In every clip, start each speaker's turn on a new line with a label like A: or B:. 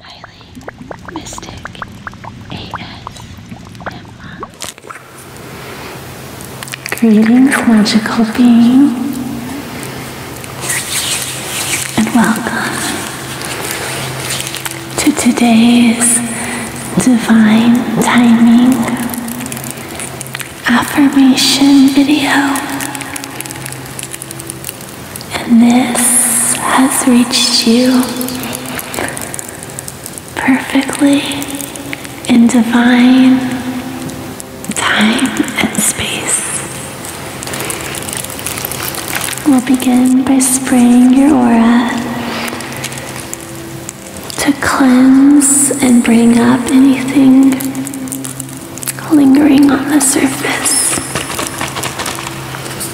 A: Highly Mystic ASMR. Greetings, magical being, and welcome to today's Divine Timing Affirmation video. And this has reached you perfectly in divine time and space. We'll begin by spraying your aura to cleanse and bring up anything lingering on the surface.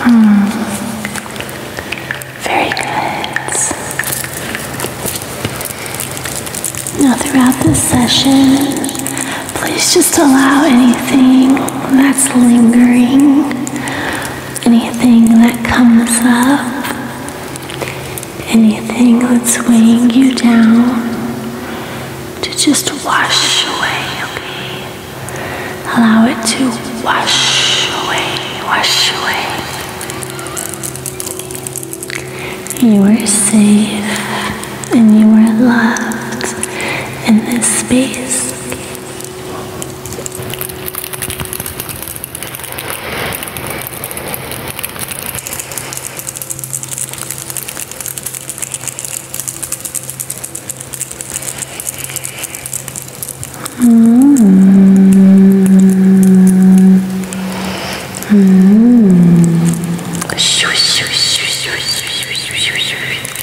A: Hmm. Very good. Now, throughout this session, Please just allow anything that's lingering, anything that comes up, anything that's weighing you down to just wash away, okay? Allow it to wash away, wash away. You are safe and you are loved in this space. Mm -hmm. Mm -hmm.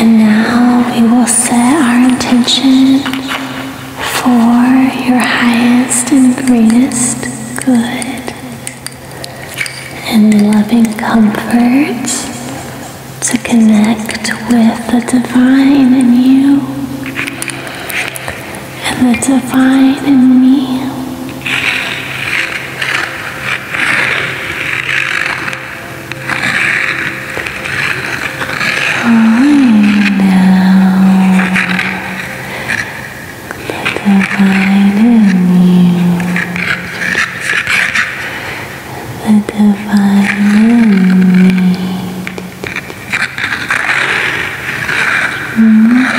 A: And now we will set our intention for your highest and greatest good and loving comfort to connect with the divine in you and the divine in me. Right now, the divine in the divine in me. Mm -hmm.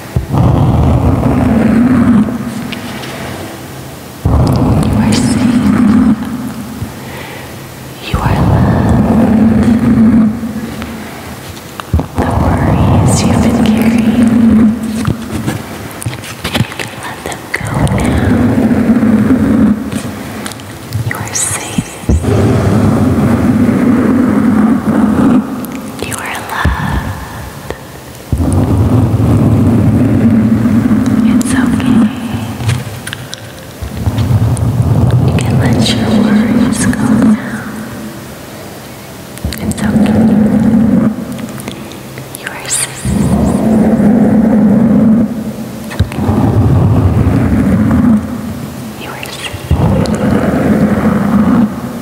A: You are safe. You are loved. The worries you've been carrying, you can let them go now. You are safe. You are loved. It's okay. You can let your worries go now. It's okay. You are safe. You are safe.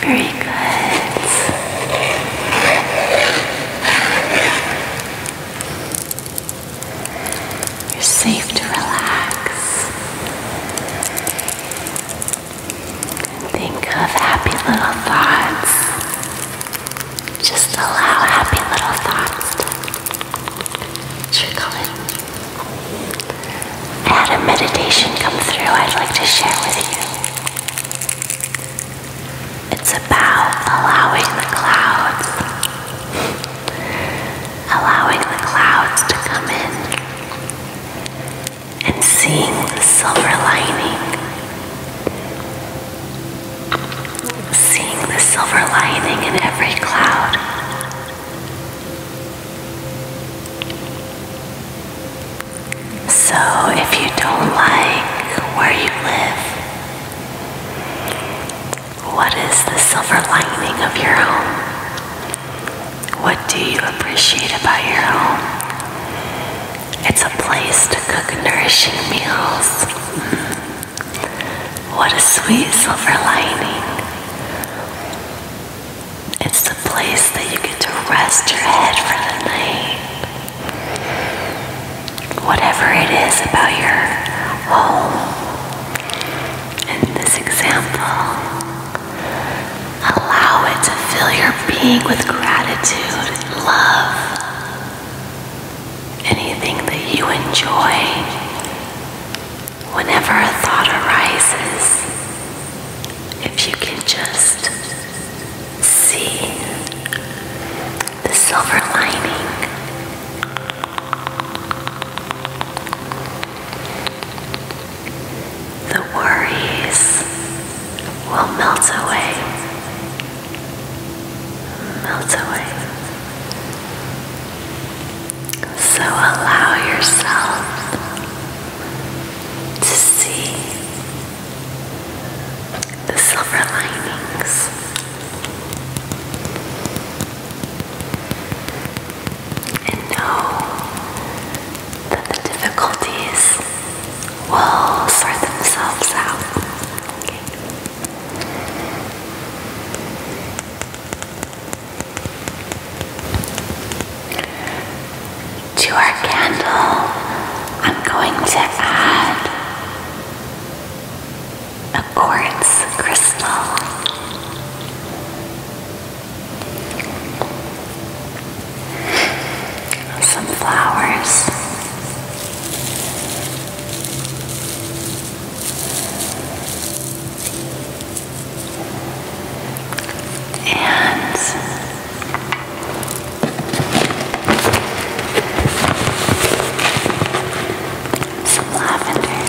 A: Very good. You're safe to relax. Think of happy little thoughts. Just allow happy little thoughts to trickle in. I had a meditation come through I'd like to share with you. It's about allowing the clouds, allowing the clouds to come in and seeing the silver lining, seeing the silver lining in every cloud. So if you don't like where you live, what is the silver lining of your home? What do you appreciate about your home? It's a place to cook nourishing meals. Mm-hmm. What a sweet silver lining. It's the place that you get to rest your head for the night. Whatever it is about your home, in this example, allow it to fill your being with gratitude and love. Anything that you enjoy, whenever a thought arises, if you can just see the silver lining. The worries will melt away, melt away. So allow yourself to see the silver linings. And know that the difficulties will sort themselves out. To our candle, I'm going to add a quartz crystal. Some flowers. And some lavender.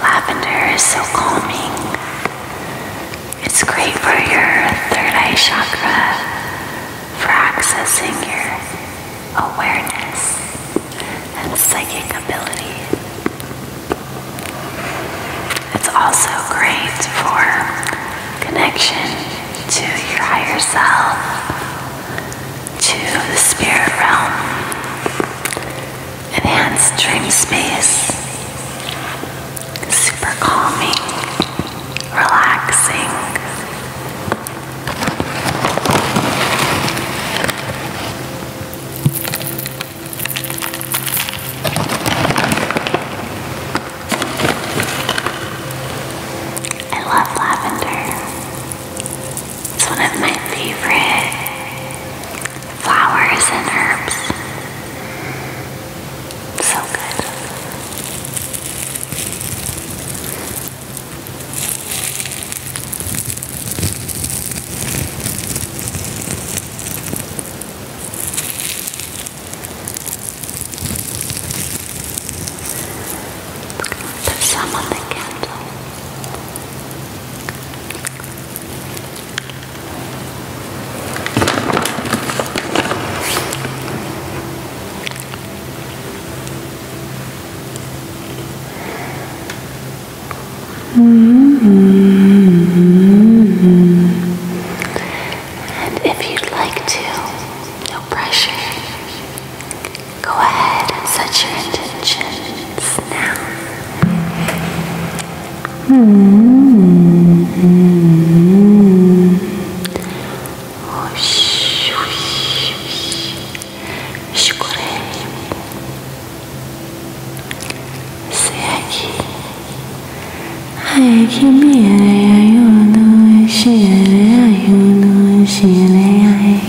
A: Lavender is so calming. It's great for your third eye chakra, for accessing your awareness and psychic ability. It's also great for connection to your higher self to the spirit realm, enhanced dream space, super calming, relaxing. I love lavender. It's one of my favorite flowers and herbs. So good. Put some on the candle. Mm -hmm. And if you'd like to, no pressure, Go ahead set your intentions now. Mm -hmm. whoosh, whoosh, whoosh. Se aqui. Ai, que mira, eu não cheirei, eu não cheirei.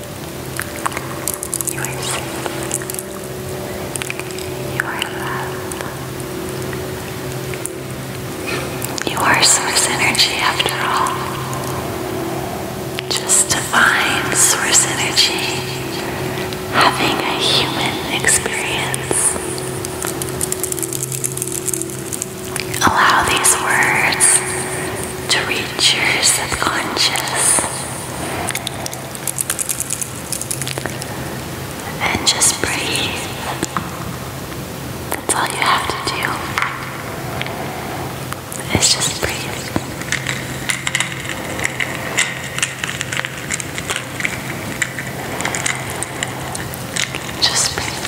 A: You are safe. You are source energy after all. Just divine source energy having a human experience. Allow these words to reach your subconscious. And just breathe. That's all you have to do. Is just breathe. Just breathe.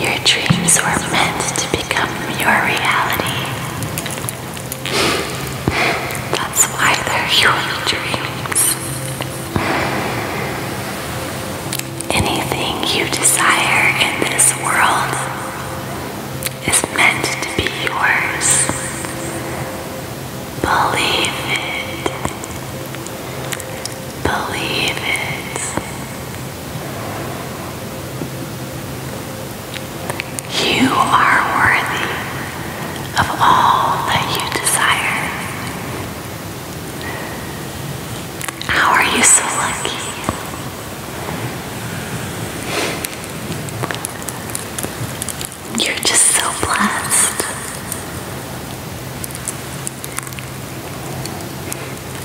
A: Your dreams were meant to become your reality. That's why they're your dreams. Anything you desire in this world is meant to be yours. Believe it. Believe it. You are worthy of all that you desire. How are you so lucky? You're just so blessed.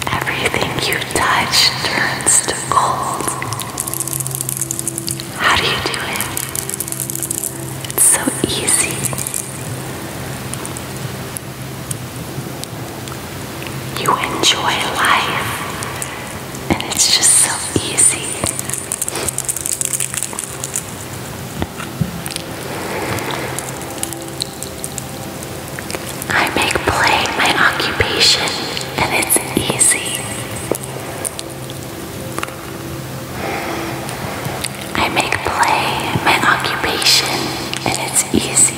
A: Everything you touch turns to gold. How do you do it? It's so easy. You enjoy life, and it's just so easy. I make play my occupation and it's easy. I make play my occupation and it's easy.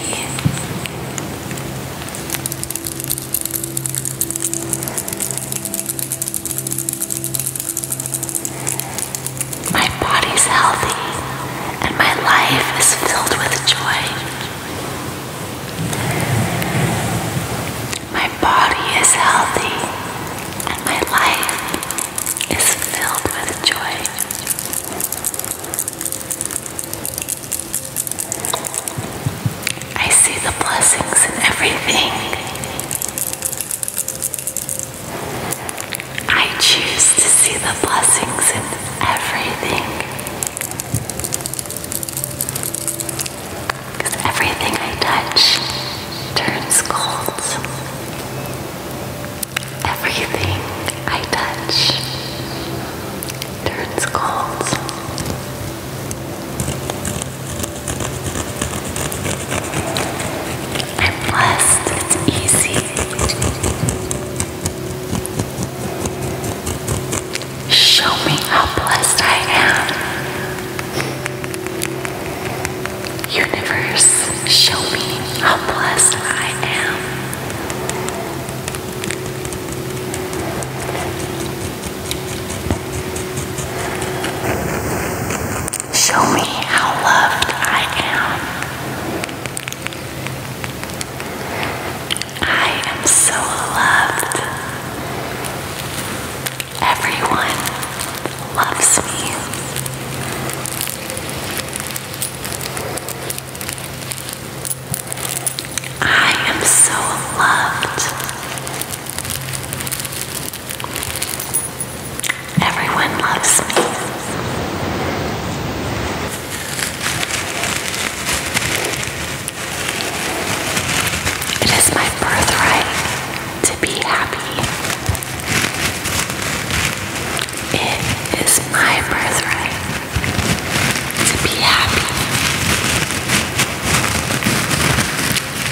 A: My body's healthy and my life is filled with joy. My body is healthy and my life is filled with joy. I see the blessings in everything. I choose to see the blessings in everything. everything I touch turns gold. Everything I touch turns gold. I'm blessed, it's easy. Show me how blessed I am. Universe, show me how blessed I am. Show me how loved I am. I am so loved. Everyone loves me. I am so loved. Everyone loves me. It is my birthright to be happy. It is my birthright to be happy.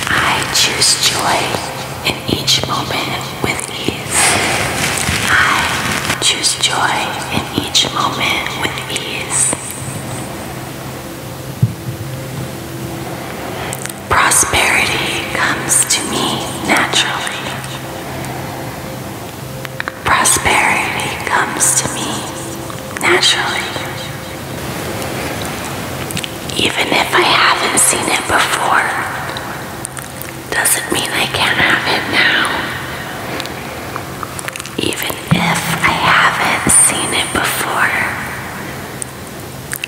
A: I choose joy each moment with ease. I choose joy in each moment with ease. Prosperity comes to me naturally. Prosperity comes to me naturally. Even if I haven't seen it before, doesn't mean I can't have it now. Even if I haven't seen it before,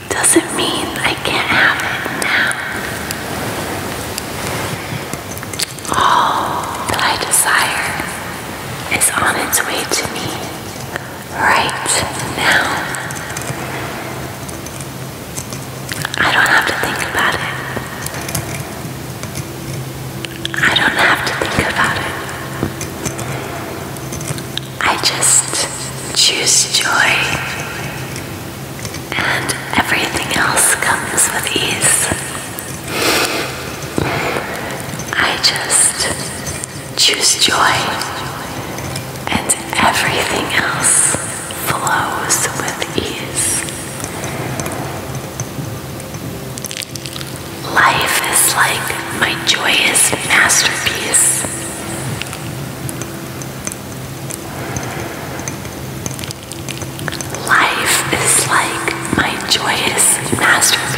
A: doesn't mean I can't have it now. All that I desire is on its way to me right now. I don't have to think about it. I don't have to think about it. I just choose joy, and everything else comes with ease. I just choose joy, and everything else flows with ease. Life is like my joyous masterpiece. Life is like my joyous masterpiece.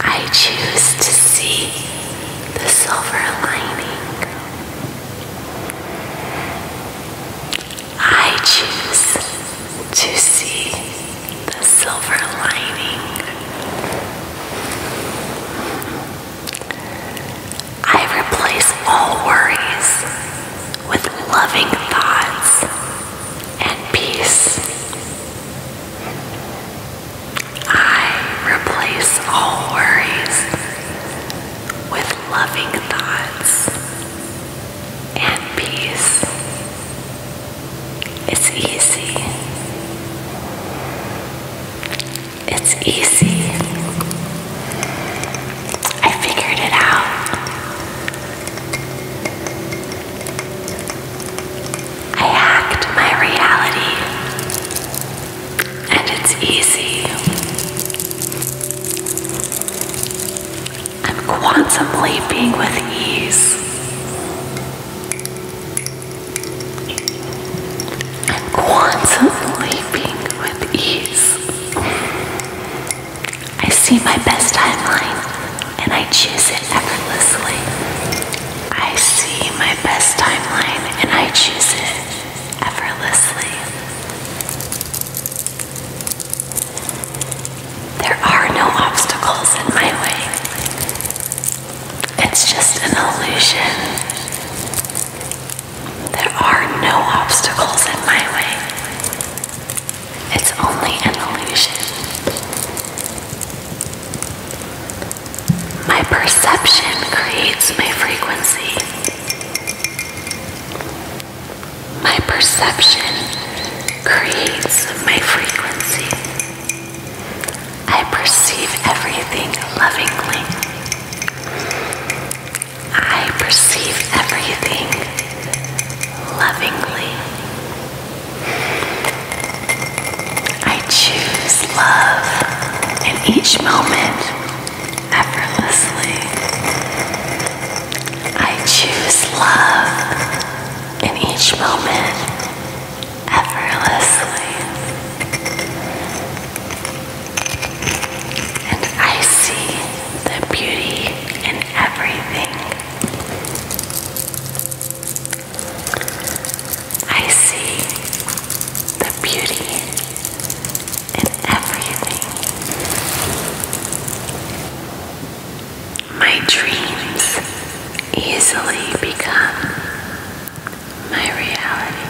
A: I choose to see the silver lining. I choose to see the silver lining. I replace all worries with loving thoughts and peace. I replace all worries with loving thoughts and peace. It's easy. It's easy. I figured it out. I hacked my reality, and it's easy. I'm quantum leaping with ease. I'm quantum leaping with ease. I see my best timeline and I choose it effortlessly. I see my best timeline and I choose it effortlessly. There are no obstacles in my way. It's just an illusion. There are no obstacles in my way. It's only an illusion. My perception creates my frequency. My perception creates my frequency. I perceive everything lovingly. I perceive everything lovingly. I choose love in each moment effortlessly. I choose love in each moment effortlessly. And I see the beauty in everything. I see the beauty in everything. My dreams easily become my reality.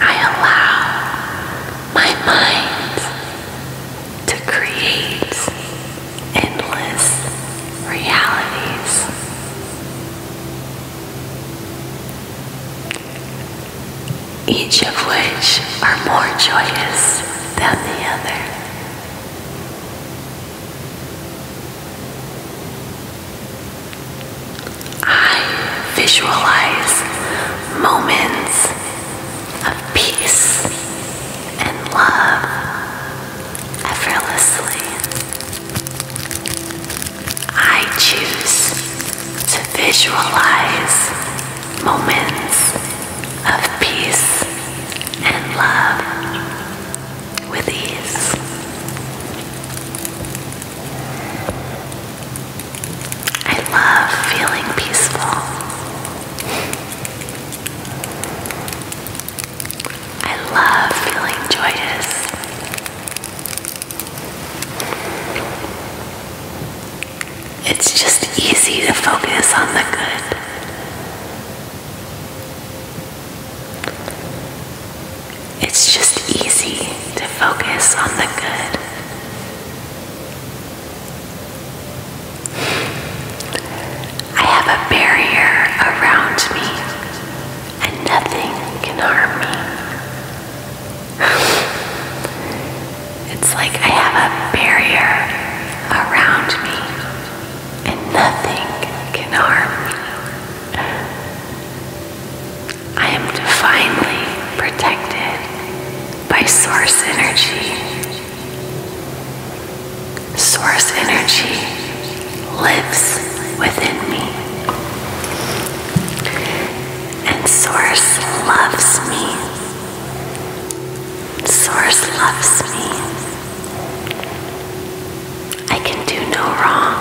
A: I allow my mind to create endless realities. Each of which are more joyous than the other. I visualize moments of peace and love effortlessly. I choose to visualize moments of peace and love with ease. I love feeling peaceful. I love feeling joyous. It's just easy to focus on the good. It's just easy to focus on the good. I have a barrier around me, and nothing can harm me. it's like I have a barrier around me, and nothing can harm me. I am divinely protected by source energy Source energy lives within me. And Source loves me. Source loves me. I can do no wrong.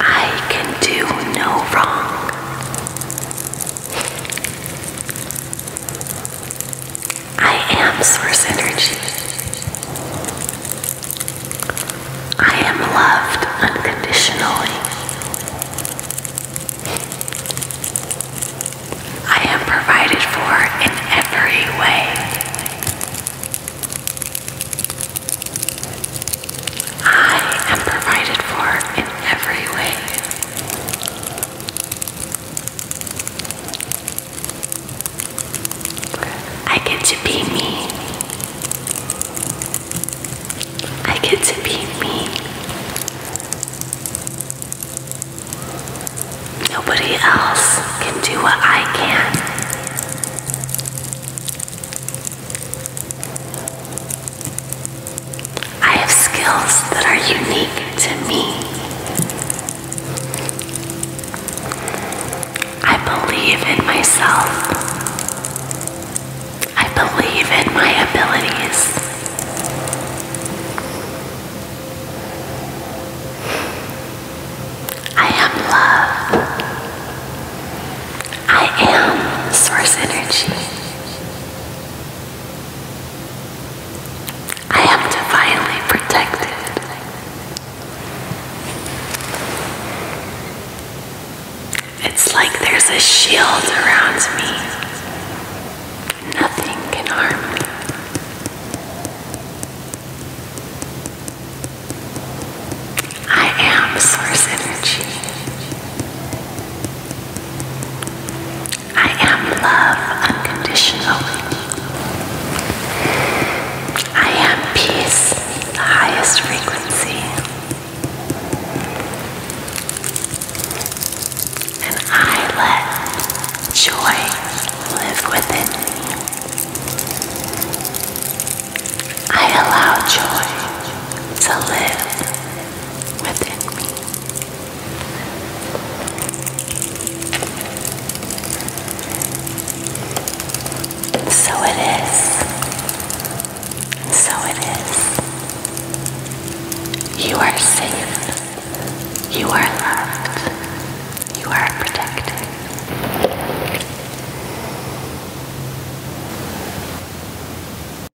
A: I can do no wrong. I am source energy. I am loved unconditionally. I am provided for in every way. I am provided for in every way. I get to be me. I get to be me. Nobody else can do what I can. I have skills that are unique to me. I believe in myself. I believe in my abilities. I am love. I am source energy. I am divinely protected. It's like there's a shield around me. Nothing can harm me. I am source energy. I am love unconditional. I am peace, the highest frequency. And I let joy live within me. I allow joy to live within me. So it is. So it is. You are safe. You are loved. You are protected.